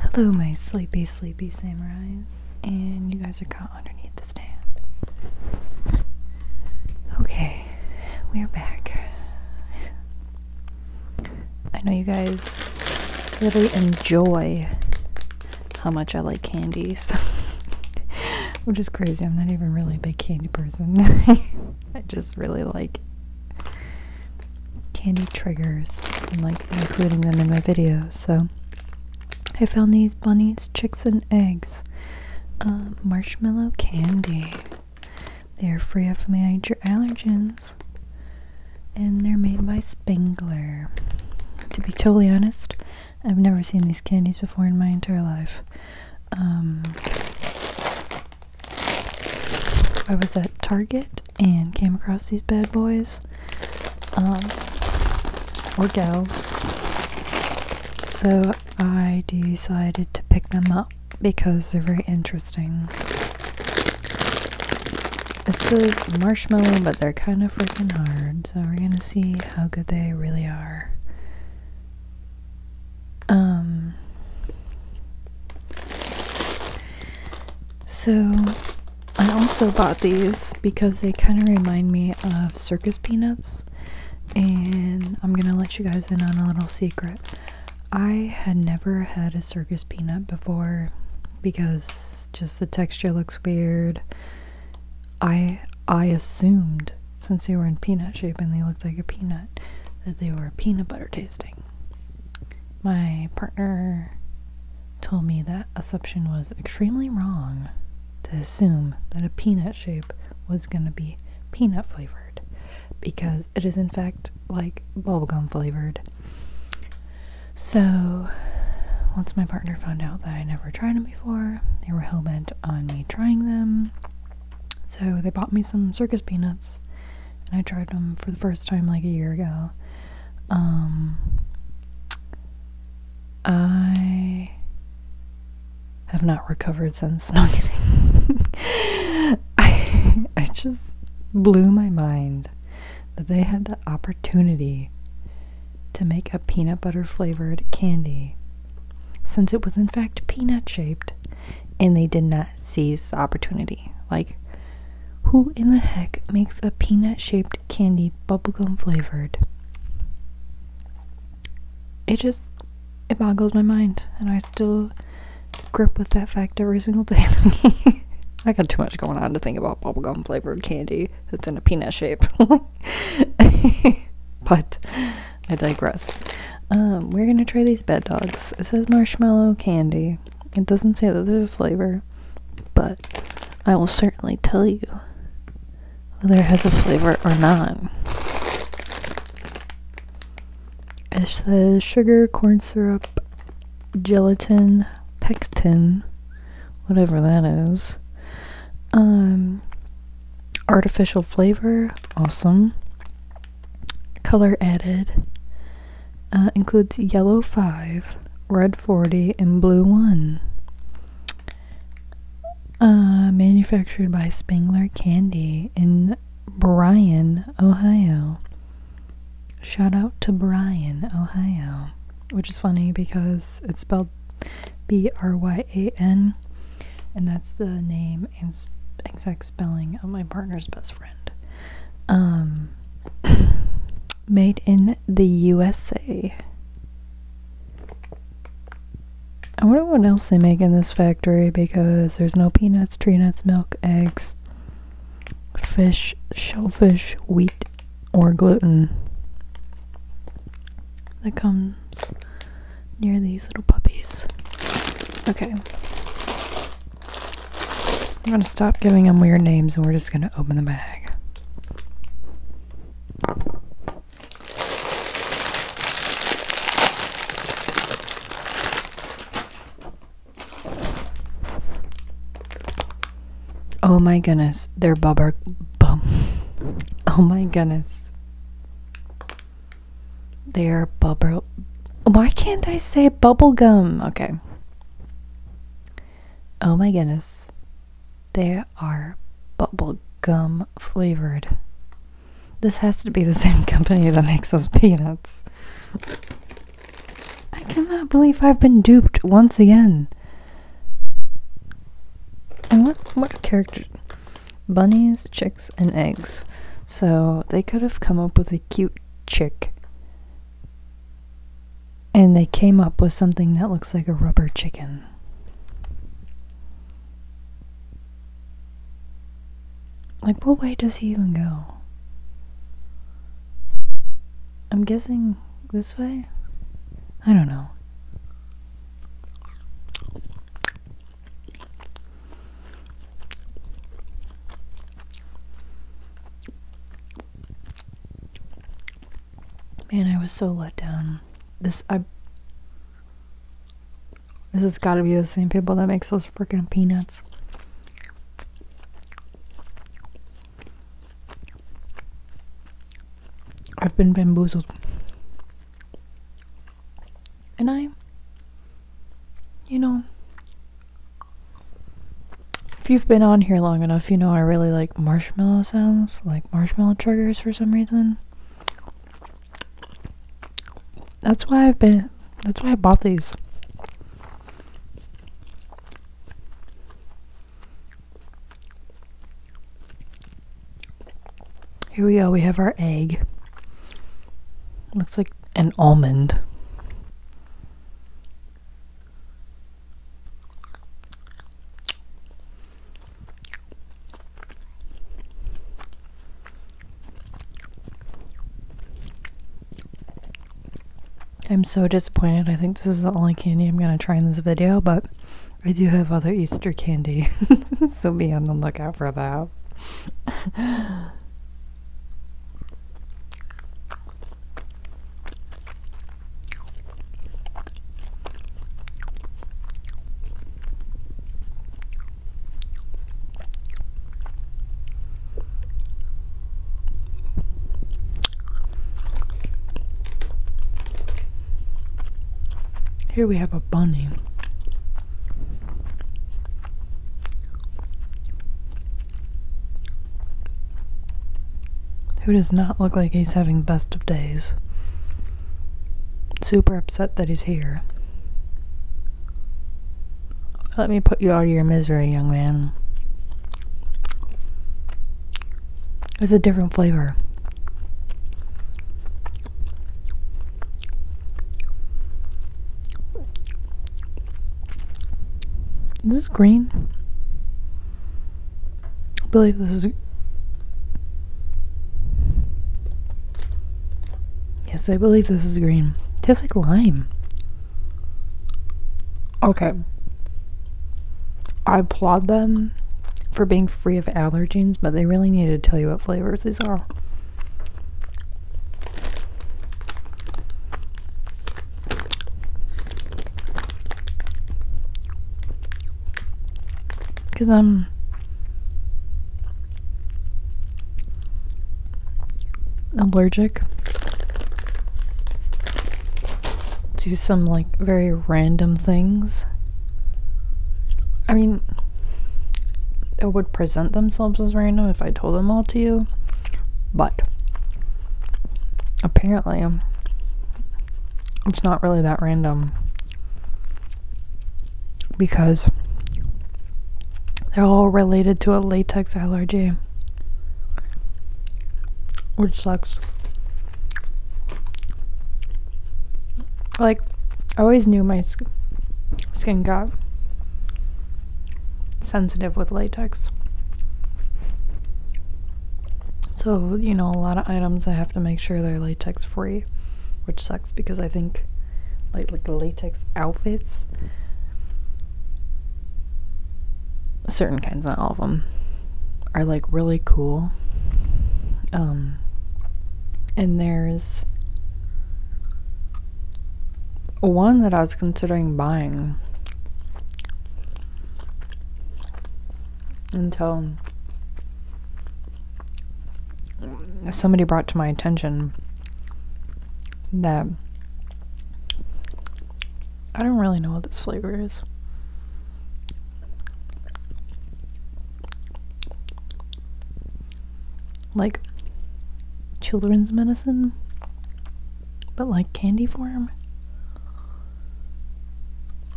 Hello, my sleepy, sleepy samurais. And you guys are caught underneath the stand. Okay, we're back. I know you guys really enjoy how much I like candy, which is crazy. I'm not even really a big candy person. I just really like candy triggers and like including them in my videos. So I found these bunnies, chicks, and eggs. Uh, marshmallow candy. They are free of major allergens. And they're made by Spangler. To be totally honest, I've never seen these candies before in my entire life. Um, I was at Target and came across these bad boys. Um, or gals. So I decided to pick them up because they're very interesting. This is marshmallow, but they're kind of freaking hard. So we're gonna see how good they really are. Um, so, I also bought these because they kind of remind me of circus peanuts. And I'm gonna let you guys in on a little secret. I had never had a circus peanut before because just the texture looks weird. I I assumed since they were in peanut shape and they looked like a peanut that they were peanut butter tasting. My partner told me that assumption was extremely wrong to assume that a peanut shape was going to be peanut flavored because it is in fact like bubblegum flavored. So once my partner found out that I never tried them before, they were hell bent on me trying them. So they bought me some circus peanuts and I tried them for the first time like a year ago. Um, I have not recovered since. I just blew my mind that they had the opportunity to make a peanut butter flavored candy since it was in fact peanut shaped and they did not peanut sees the opportunity. Like, who in the heck makes a peanut shaped candy bubblegum flavored? It just it boggles my mind and I still grip with that fact every single day. I got too much going on to think about bubblegum flavored candy that's in a peanut shape. but I digress. Um, we're gonna try these bed dogs. It says marshmallow candy. It doesn't say that there's a flavor, but I will certainly tell you whether it has a flavor or not. It says sugar, corn syrup, gelatin, pectin, whatever that is. Um, artificial flavor, awesome. Color added uh, includes yellow 5, red 40, and blue 1. Uh, manufactured by Spangler Candy in Bryan, Ohio. Shout out to Bryan, Ohio. Which is funny because it's spelled B R Y A N, and that's the name exact spelling of my partner's best friend. Um, made in the USA. I wonder what else they make in this factory because there's no peanuts, tree nuts, milk, eggs, fish, shellfish, wheat, or gluten that comes near these little puppies. Okay. I'm gonna stop giving them weird names and we're just gonna open the bag. Oh my goodness, they're bubber bum. Oh my goodness. They're bubble. Why can't I say bubblegum? Okay. Oh my goodness. They are bubblegum flavored. This has to be the same company that makes those peanuts. I cannot believe I've been duped once again. And what what character bunnies, chicks, and eggs. So they could have come up with a cute chick. And they came up with something that looks like a rubber chicken. Like, what way does he even go? I'm guessing this way? I don't know. Man, I was so let down. This I This has gotta be the same people that makes those freaking peanuts. I've been bamboozled. And I, you know, if you've been on here long enough, you know I really like marshmallow sounds, like marshmallow triggers for some reason. That's why I've been, that's why I bought these. Here we go, we have our egg. Looks like an almond. I'm so disappointed. I think this is the only candy I'm going to try in this video, but I do have other Easter candy, so be on the lookout for that. Here we have a bunny. Who does not look like he's having the best of days? Super upset that he's here. Let me put you out of your misery, young man. It's a different flavor. Is this green? I believe this is. Yes, I believe this is green. Tastes like lime. Okay. I applaud them for being free of allergens, but they really need to tell you what flavors these are. Because I'm. Um, allergic to some like very random things I mean, it would present themselves as random if I told them all to you, but apparently it's not really that random because they're all related to a latex allergy, which sucks. Like, I always knew my skin got sensitive with latex. So, you know, a lot of items I have to make sure they're latex free, which sucks because I think like like latex outfits certain kinds, not all of them, are like really cool. Um, and there's one that I was considering buying until somebody brought to my attention that I don't really know what this flavor is. Like children's medicine, but like candy form.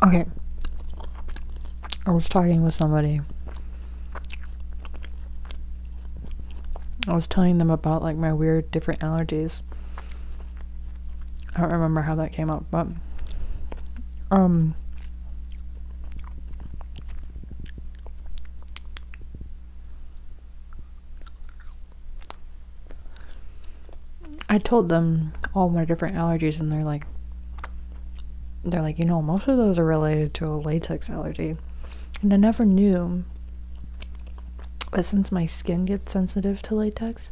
Okay. I was talking with somebody. I was telling them about like my weird different allergies. I don't remember how that came up, but um I told them all my different allergies and they're like they're like, you know, most of those are related to a latex allergy. And I never knew that since my skin gets sensitive to latex,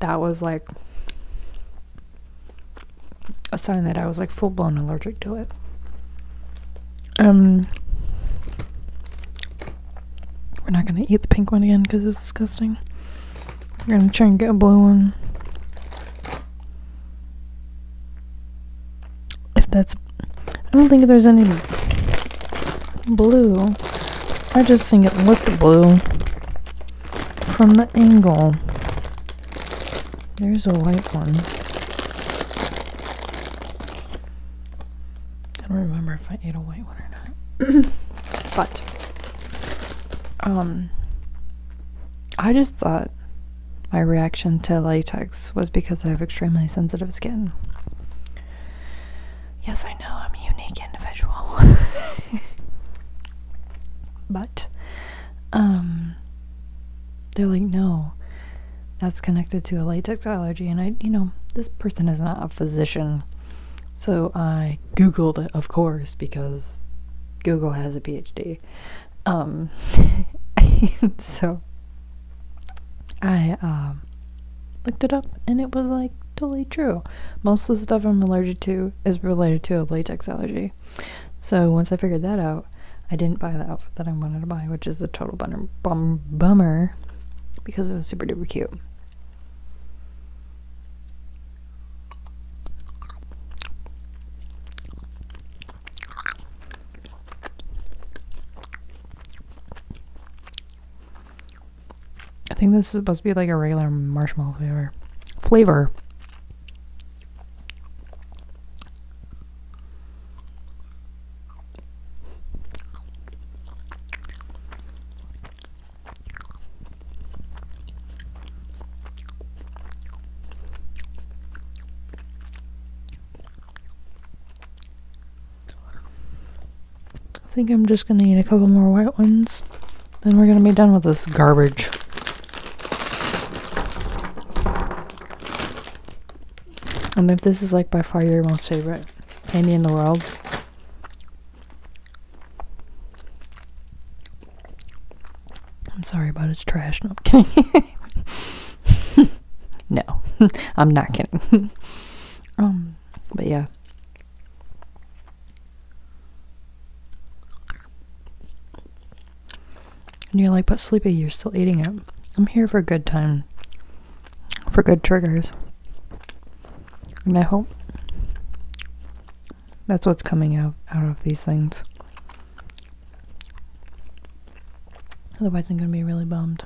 that was like a sign that I was like full blown allergic to it. Um, we're not gonna eat the pink one again because it was disgusting. We're gonna try and get a blue one. If that's, I don't think there's any blue I just think it looked blue from the angle. There's a white one. I don't remember if I ate a white one or not. but, um, I just thought my reaction to latex was because I have extremely sensitive skin. Yes, I know I'm a unique individual. but um they're like, no, that's connected to a latex allergy and I you know, this person is not a physician. So I Googled it, of course, because Google has a PhD. Um, so I um, looked it up and it was like totally true. Most of the stuff I'm allergic to is related to a latex allergy. So once I figured that out, I didn't buy the outfit that I wanted to buy, which is a total bummer because it was super duper cute. I think this is supposed to be like a regular marshmallow flavor. Flavor. I think I'm just gonna eat a couple more white ones. Then we're gonna be done with this garbage. And if this is like by far your most favorite candy in the world, I'm sorry, about it's trash. okay. no, I'm not kidding. Um, but yeah. And you're like, but sleepy, you're still eating it. I'm here for a good time, for good triggers. And I hope that's what's coming out, out of these things. Otherwise, I'm going to be really bummed.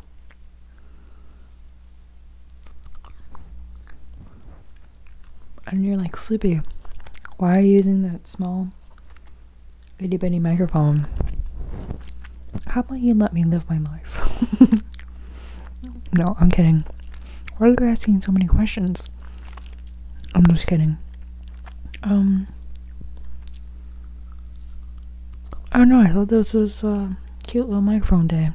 And you're like, Sleepy, why are you using that small itty bitty microphone? How about you let me live my life? no, I'm kidding. Why are you asking so many questions? I'm just kidding. Um, I oh, don't know, I thought this was a cute little microphone day.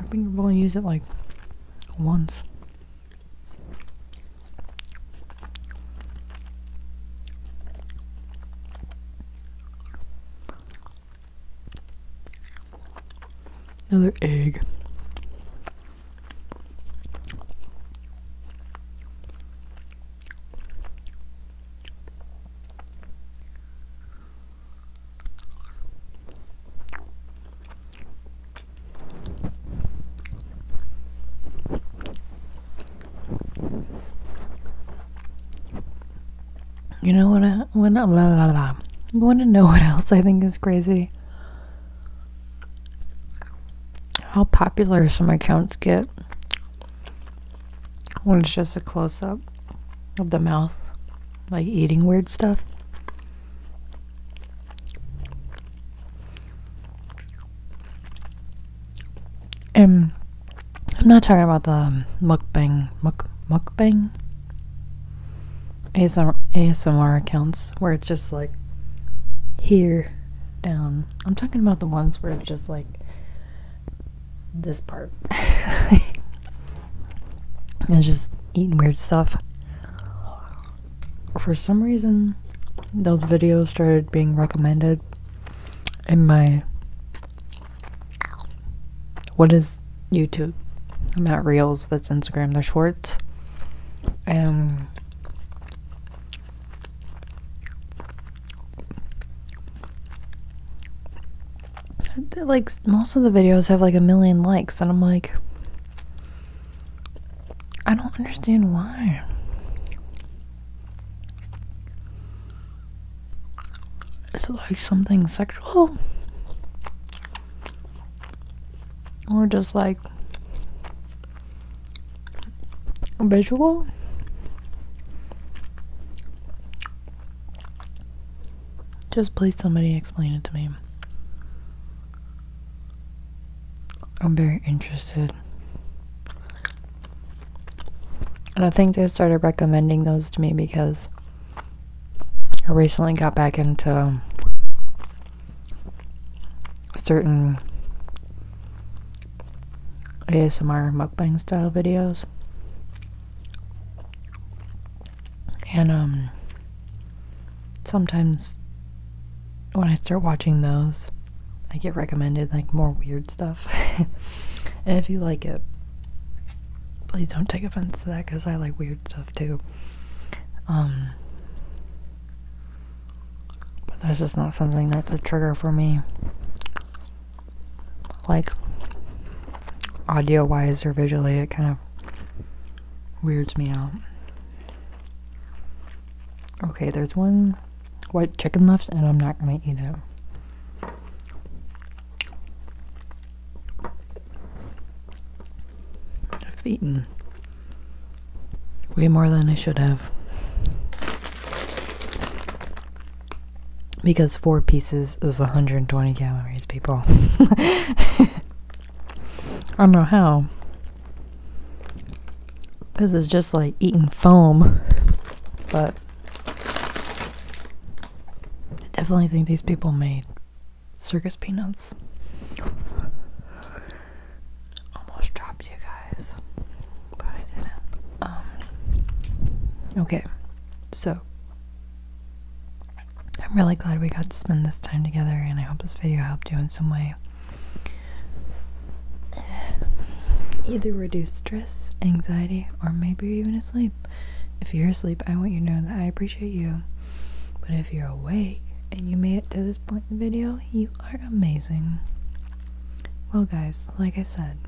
I think I've only used it like once. Another egg. You know what? I, want to know what else I think is crazy? how popular some accounts get when it's just a close up of the mouth, like eating weird stuff. And um, I'm not talking about the mukbang, muk, mukbang ASMR, ASMR accounts where it's just like here down. I'm talking about the ones where it's just like this part. and just eating weird stuff. For some reason, those videos started being recommended in my what is YouTube? Not reels, that's Instagram, they're shorts. And um, like, most of the videos have like a million likes, and I'm like, I don't understand why. Is it like something sexual? or just like a visual just please somebody explain it to me i'm very interested and i think they started recommending those to me because i recently got back into certain ASMR mukbang style videos. And um, sometimes when I start watching those, I get recommended like more weird stuff. and if you like it, please don't take offense to that cuz I like weird stuff too. Um, but this is not something that's a trigger for me. Like, audio wise or visually, it kind of weirds me out. Okay, there's one white chicken left, and I'm not gonna eat it. I've eaten way more than I should have. Because four pieces is 120 calories, people. I don't know how. This is just like eating foam, but I definitely think these people made circus peanuts. Almost dropped you guys, but I didn't. Um, okay, so I'm really glad we got to spend this time together, and I hope this video helped you in some way. Either reduce stress, anxiety, or maybe even asleep. If you're asleep, I want you to know that I appreciate you but if you're awake and you made it to this point in the video, you are amazing. Well, guys, like I said,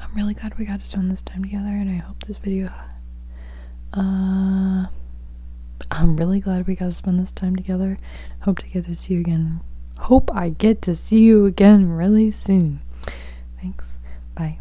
I'm really glad we got to spend this time together, and I hope this video. Uh, I'm really glad we got to spend this time together. Hope to get to see you again. Hope I get to see you again really soon. Thanks. Bye.